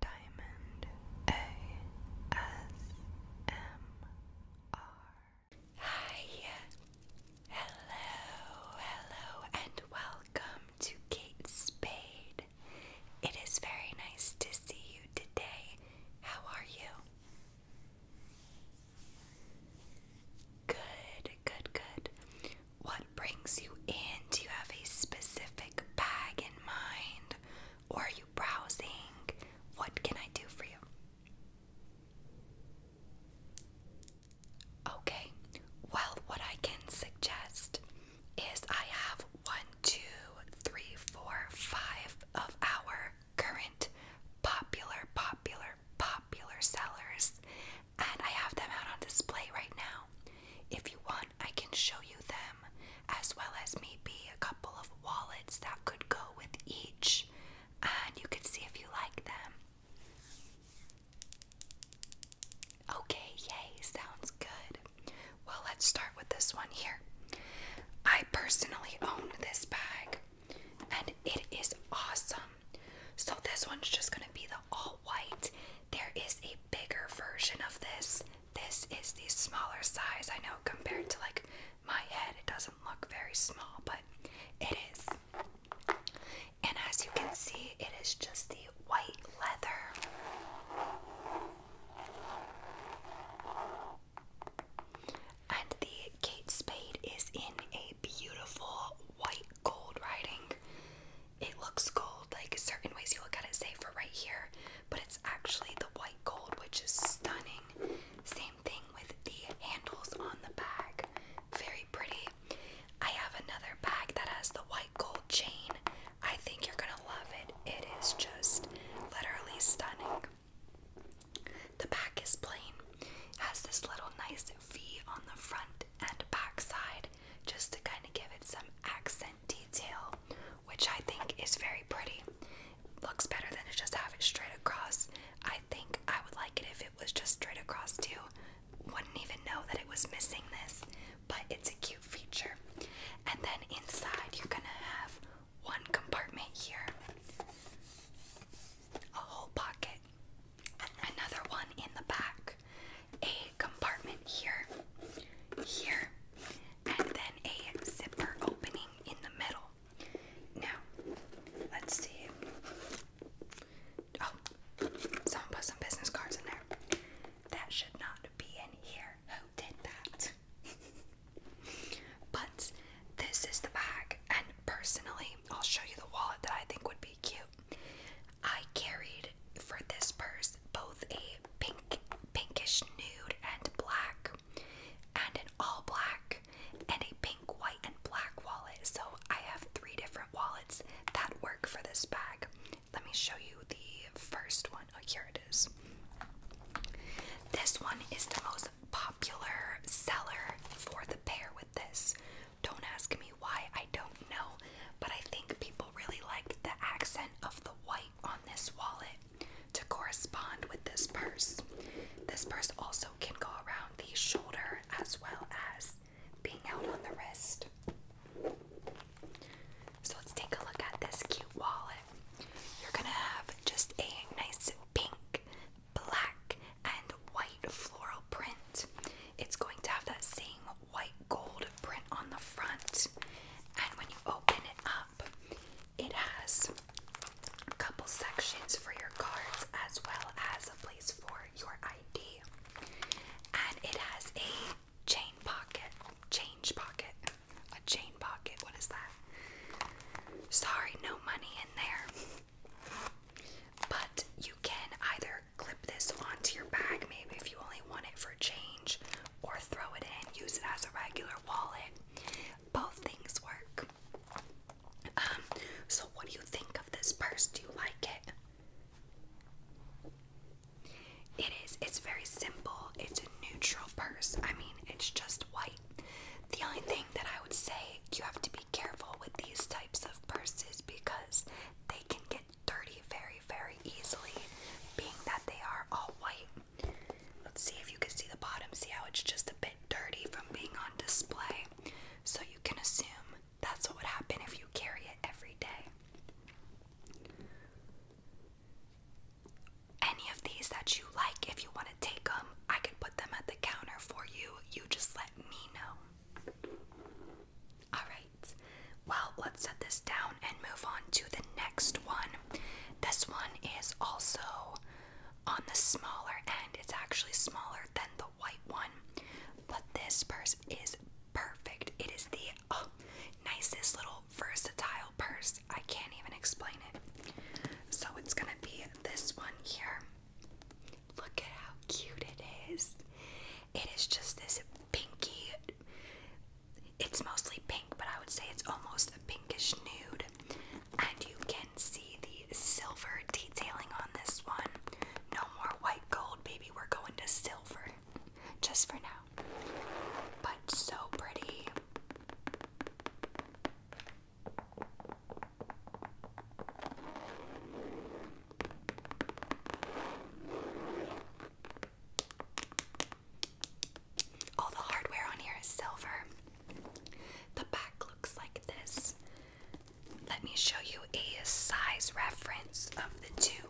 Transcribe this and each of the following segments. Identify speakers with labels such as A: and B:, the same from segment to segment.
A: Diamond ASMR. Hi, hello, hello, and welcome to Kate Spade. It is very nice to see you today. How are you? Good, good, good. What brings you in? Do you have a specific bag in mind? Or are you browsing? What can I do for you? Okay, well, what I can suggest is I have one, two, three, four, five of our current popular, popular, popular sellers, and I have them out on display right now. If you want, I can show you them, as well as maybe a couple of wallets that could go with each, and you can see if you like them. Okay, yay, sounds good. Well, let's start with this one here. I personally own this bag, and it is awesome. So, this one's just gonna be the all white. There is a bigger version of this. This is the smaller size. I know compared to like my head, it doesn't look very small, but it is. And as you can see, it is just the white leather. And the Kate Spade is in a beautiful white gold writing it looks gold. Like certain ways you look at it, say for right here, but it's actually the white gold, which is stunning. Same thing with the handles on the bag. Very pretty. I have another bag that has the white gold chain. I think you're gonna love it. It is just literally stunning. The back is plain, has this little nice V on the front and back side, just to kind of give it some accent detail, which I think is very pretty. Looks better than to just have it straight across. I think I would like it if it was just straight across too. Wouldn't even know that it was missing this, but it's a cute feature. And then inside, you're gonna have one compartment here, a whole pocket, another one in the back, a compartment here, here, and then a zipper opening in the middle. Now, let's see. Oh, someone put some business cards in there. That should not be in here. Who did that? but this is the bag, and personally, I'll show you the wallet that I think would be cute. I carried for this purse both a pink pinkish nude and black and an all black and a pink white and black wallet. So I have three different wallets that work for this bag. Let me show you the first one. Oh, here it is. This one is the most popular seller for the pair with this. Don't ask me why, I don't know, but I think people really like the accent of the white on this wallet to correspond with this purse. This purse also can go around the shoulder as well as being out on the wrist. So let's take a look at this cute wallet. You're gonna have just a nice pink, black, and white floral print. It's going to have that same white gold print on the front. And when you open it up, it has a couple sections for your cards as well as a place for your ID. And it has a chain pocket. Change pocket. A chain pocket. What is that? Sorry, no money in there. But you can either clip this onto your bag, maybe if you only want it for change, or throw it in, use it as a regular wallet. Both things work. Um, so what do you think of this purse? Do you like it? It is. It's very simple. It's a neutral purse. I mean, it's just white. The only thing that I would say you have to be careful with these types of purses because they can get dirty very, very easily, being that they are all white. Let's see if you can see the bottom. See how it's just a bit dirty from being on display. So you can assume that's what would happen if you carry it every day. Any of these that you like, if you want to take them, I can put them at the counter for you. You just let me know. Alright, well, let's set this down and move on to the next one. This one is also on the smaller end, it's actually smaller than the white one, but this purse is perfect. It is the oh, nicest little versatile purse. I can't even explain it. So it's gonna be this one here. Look at how cute it is. It is just this pinky, it's mostly pink, but I would say it's almost a pinkish nude. And you can see the silver detailing on this one. No more white gold, baby. We're going to silver just for now. But so pretty. All the hardware on here is silver. The back looks like this. Let me show you a size reference of the two.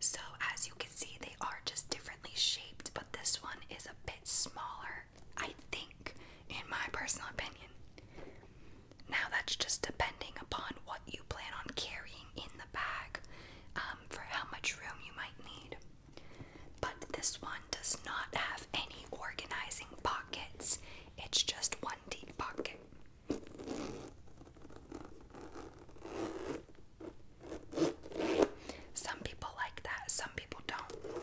A: So, as you can see, they are just differently shaped, but this one is a bit smaller I think, in my personal opinion. Now, that's just depending upon what you plan on carrying in the bag um, for how much room you might need. But this one does not have any organizing pockets, it's just one deep pocket. Some people like that, some people don't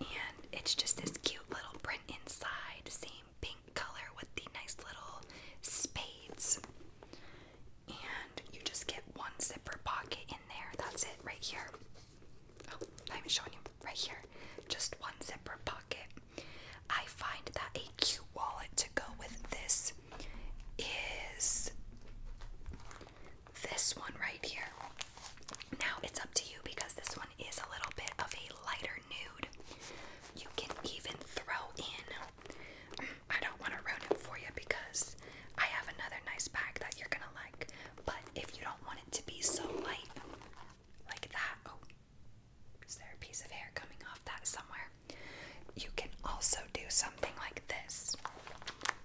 A: and it's just this cute little print inside, same pink color with the nice little spades. And you just get one zipper pocket in there. That's it right here. Oh, I'm showing you right here. Just one zipper pocket. I find that a cute wallet to go with this is this one right here. Now it's up to you because this one is a little bit of a lighter nude. You can even throw in, I don't want to ruin it for you because I have another nice bag that you're going to like, but if you don't want it to be so light like that, oh, is there a piece of hair coming off that somewhere? You can also do something like this.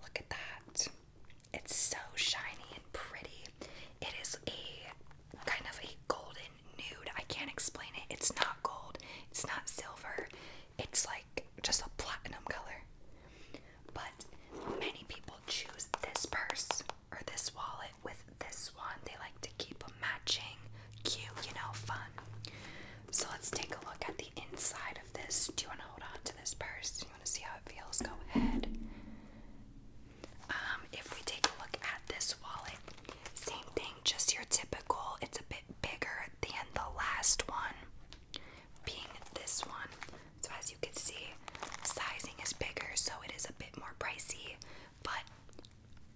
A: Look at that. It's so shiny and pretty. It is a kind of a golden nude. I can't explain it. It's not gold, it's not silver, it's like just a platinum color. But many people choose this purse or this wallet with this one. They like to keep them matching, cute, you know, fun. So let's take a look at the inside of this. Do you want to hold on to this purse? and you want to see how it feels, go ahead. Um, if we take a look at this wallet, same thing, just your typical, it's a bit bigger than the last one, being this one. So, as you can see, sizing is bigger, so it is a bit more pricey, but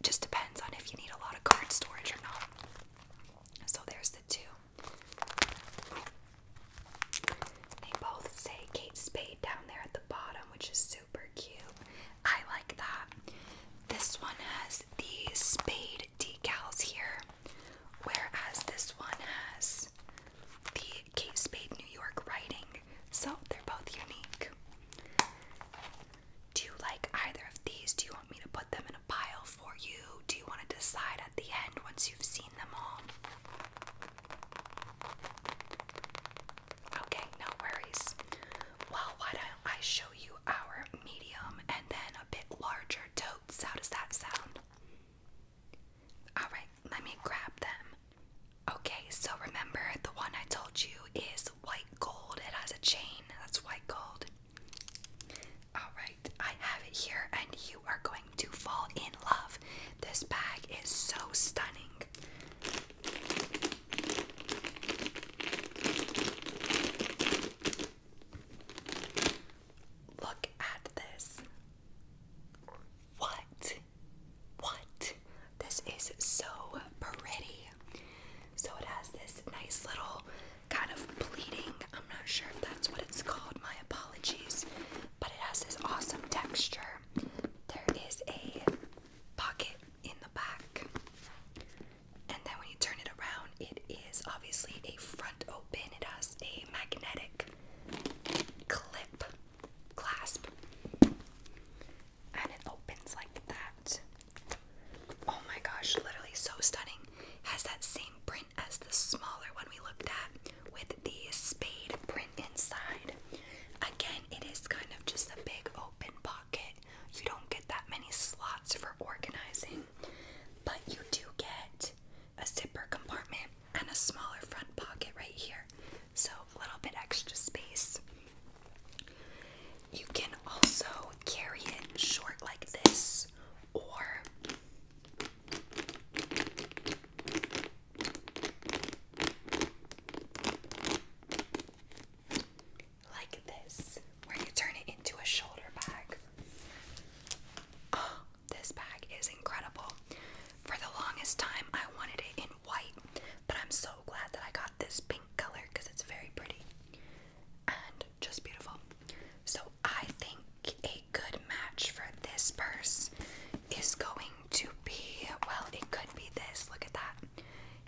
A: just depends on if you need a lot of card storage or not. So, there's the two. They both say Kate Spade down there at the bottom, which is super cute. I like that. This one has the spade decals here, whereas this one has the Kate Spade New York writing. So they're both unique. Do you like either of these? Do you want me to put them in a pile for you? Do you want to decide at the end once you? Okay, no worries. Well, why don't I show you our medium and then a bit larger totes? How does that sound? Alright, let me grab them. Okay, so remember the one I told you is white gold. It has a chain, that's white gold. Alright, I have it here, and you are going to fall in love. This bag is so stunning. Look at this. What? What? This is so pretty. So it has this nice little kind of pleating. I'm not sure if that's what it's called. My apologies. But it has this awesome texture. There is a pocket in the back. And then when you turn it around, it is obviously a front open. It has a magnetic clip clasp. And it opens like that. Oh my gosh, literally so stunning has that same print as the smaller one we looked at with the spade print inside. Again, it is kind of just a big open pocket. You don't get that many slots for organizing, but you do get a zipper compartment and a smaller front pocket right here. So, a little bit extra space. You can also carry it short like this, or like this, where you turn it into a shoulder bag. Oh, this bag is incredible. For the longest time, I wanted it in white, but I'm so glad that I got this pink color because it's very pretty and just beautiful. So I think a good match for this purse is going to be well, it could be this. Look at that.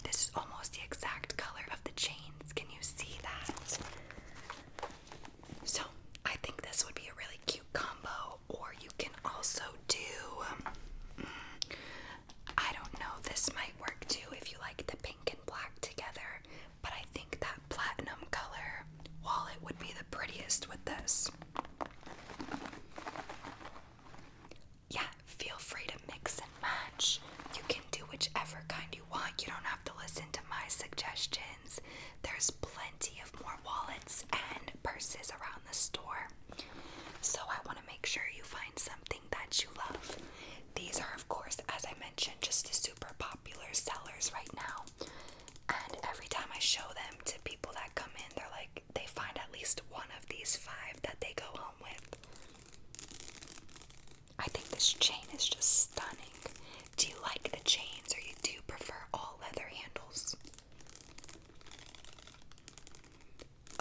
A: This is almost the exact color of the chains. Can you see that? So I think this would be a really cute combo, or you can also do. Um, mm, I don't know, this might work too if you like the pink and black together, but I think that platinum color wallet would be the prettiest with this. Yeah, feel free to mix and match. You can do whichever kind you want. You don't have to listen to my suggestions. There's plenty of more wallets and purses around the store. So I want to make sure you find something that you love. These are, of course, as I mentioned, just the super popular sellers right now. And every time I show them to people that come in, they're like, they find at least one of these five that they go home with. I think this chain is just stunning. Do you like the chains or you do prefer all leather handles?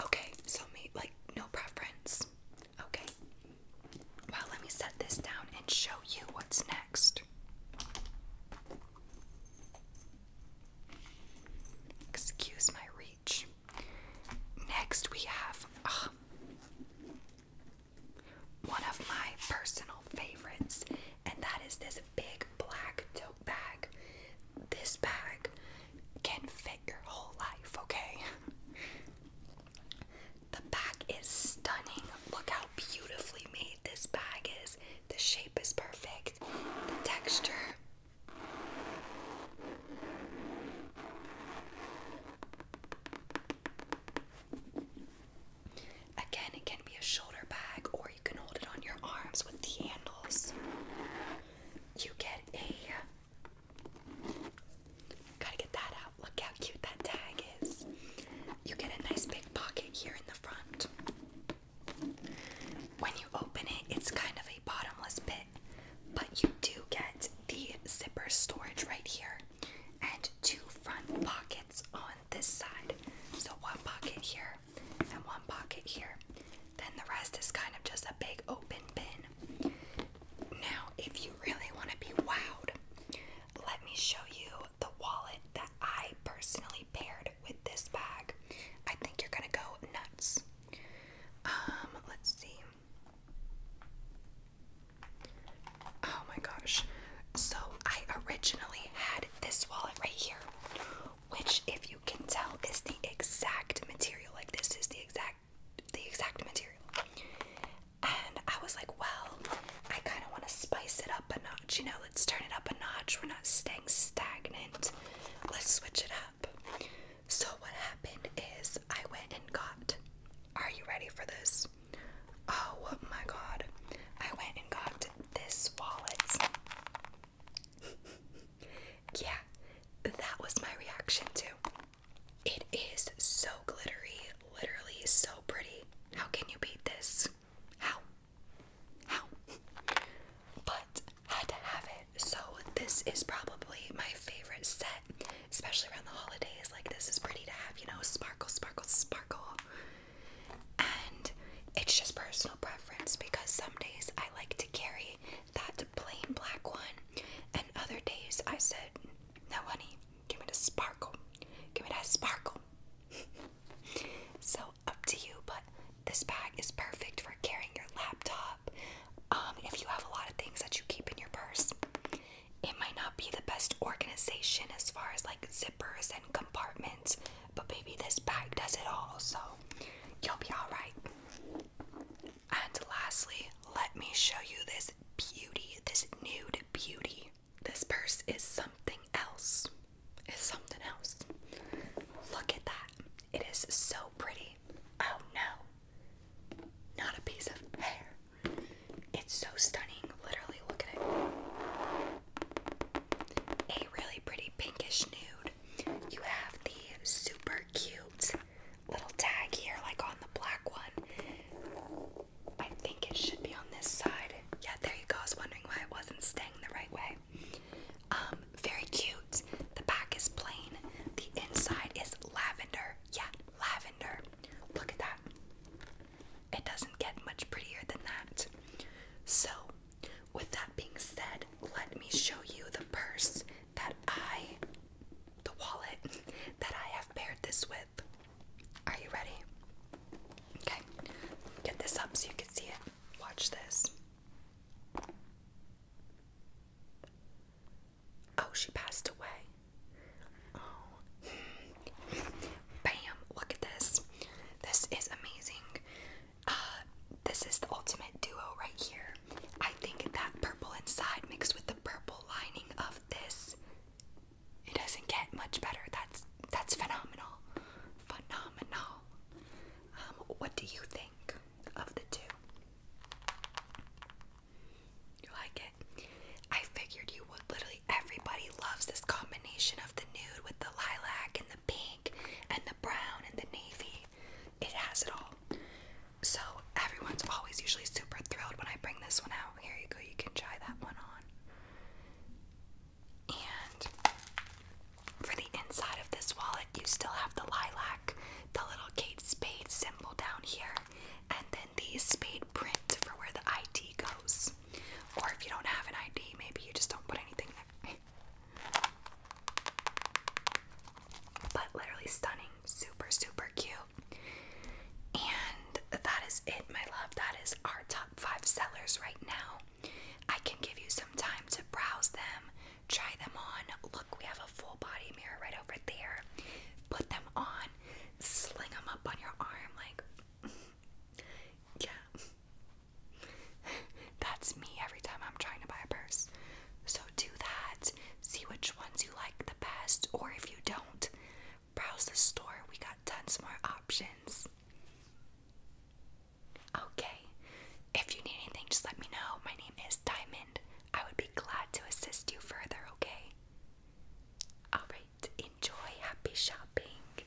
A: Okay, so me like no preference. Okay. Well, let me set this down and show you what's next. Excuse my reach. Next, we have ah, one of my personal favorites, and that is this big black tote bag. This bag can fit your whole life, okay? The back is stunning. Look how beautifully made this bag is. The shape is perfect. The texture. Again, it can be a shoulder bag or you can hold it on your arms with the handles. You get a Gotta get that out. Look how cute that tag is. You get a nice big pocket here in the front. When you open it, it's kind of a bottomless pit, but you do get the zipper storage right here and two front pockets on this side. So one pocket here and one pocket here. Then the rest is kind of just a big open bin. Now, if you really want to be wowed, let me show you the wallet that I personally paired with this bag. I think you're going to go nuts. Um, let's see. Oh my gosh. So, I originally had this wallet right here, which, if you can tell, is the exact material. Like, this is the exact the exact material. And I was like, well, I kind of want to spice it up a notch, you know, let's turn it up a notch. We're not staying stagnant. Let's switch it up. So what happened is I went and got Are you ready for this? Oh my god. I went and got this wallet yeah, that was my reaction too. It is so glittery, literally so pretty. How can you beat this? How? How? But had to have it. So this is probably my favorite set, especially around the holidays. Like this is pretty to have, you know, sparkle, sparkle, sparkle. And it's just personal preference because some days I like to carry that plain black one, and other days I said, No, honey, give me the sparkle. Give me that sparkle. so, up to you, but this bag is perfect for carrying your laptop. Um, if you have a lot of things that you keep in your purse, it might not be the best organization as far as like zippers and compartments, but maybe this bag does it all, so you'll be alright. And lastly, let me show you this beauty, this nude beauty. This purse is something else. It's something else. Look at that. It is so pretty. Oh no. Not a piece of hair. It's so stunning. Literally, look at it. A really pretty pinkish nude. You have the super cute little tag here, like on the black one. I think it should be on this side. Yeah, there you go. I was wondering why it wasn't staying the right way. Um, very cute. The back is plain. The inside is lavender. Yeah, lavender. Look at that. It doesn't get much prettier than that. So, with that being said, let me show you the purse that I, the wallet that I have paired this with. Are you ready? Okay, get this up so you can see it. Watch this. Oh, she passed away. Oh. Bam, look at this. This is amazing. Uh, this is the ultimate duo right here. I think that purple inside mixed with the purple lining of this, it doesn't get much better. That's that's phenomenal, phenomenal. Um, what do you think of the two? You like it? I figured you would. Literally, everybody loves this combination of the nude with the lilac and the pink and the brown and the navy. It has it all. So everyone's always usually super thrilled when I bring this one out. Here you go, you can try that one on. And for the inside of this wallet, you still have the lilac, the little Kate Spade symbol down here, and then the spade print for where the ID goes. Or if you don't have an ID, maybe you just don't put anything there. But literally stunning, super, super cute. And that is it, my love. That is our top five sellers right now. I can give you some time to browse them, try them on. Look, we have a full body mirror right over there. Put them on, sling them up on your arm, like, yeah. That's me every time I'm trying to buy a purse. So do that. See which ones you like the best, or if you don't, browse the store. We got tons more options. Okay. If you need anything, just let me know. My name is Diamond. I would be glad to assist you further, okay? Alright, enjoy. Happy shopping.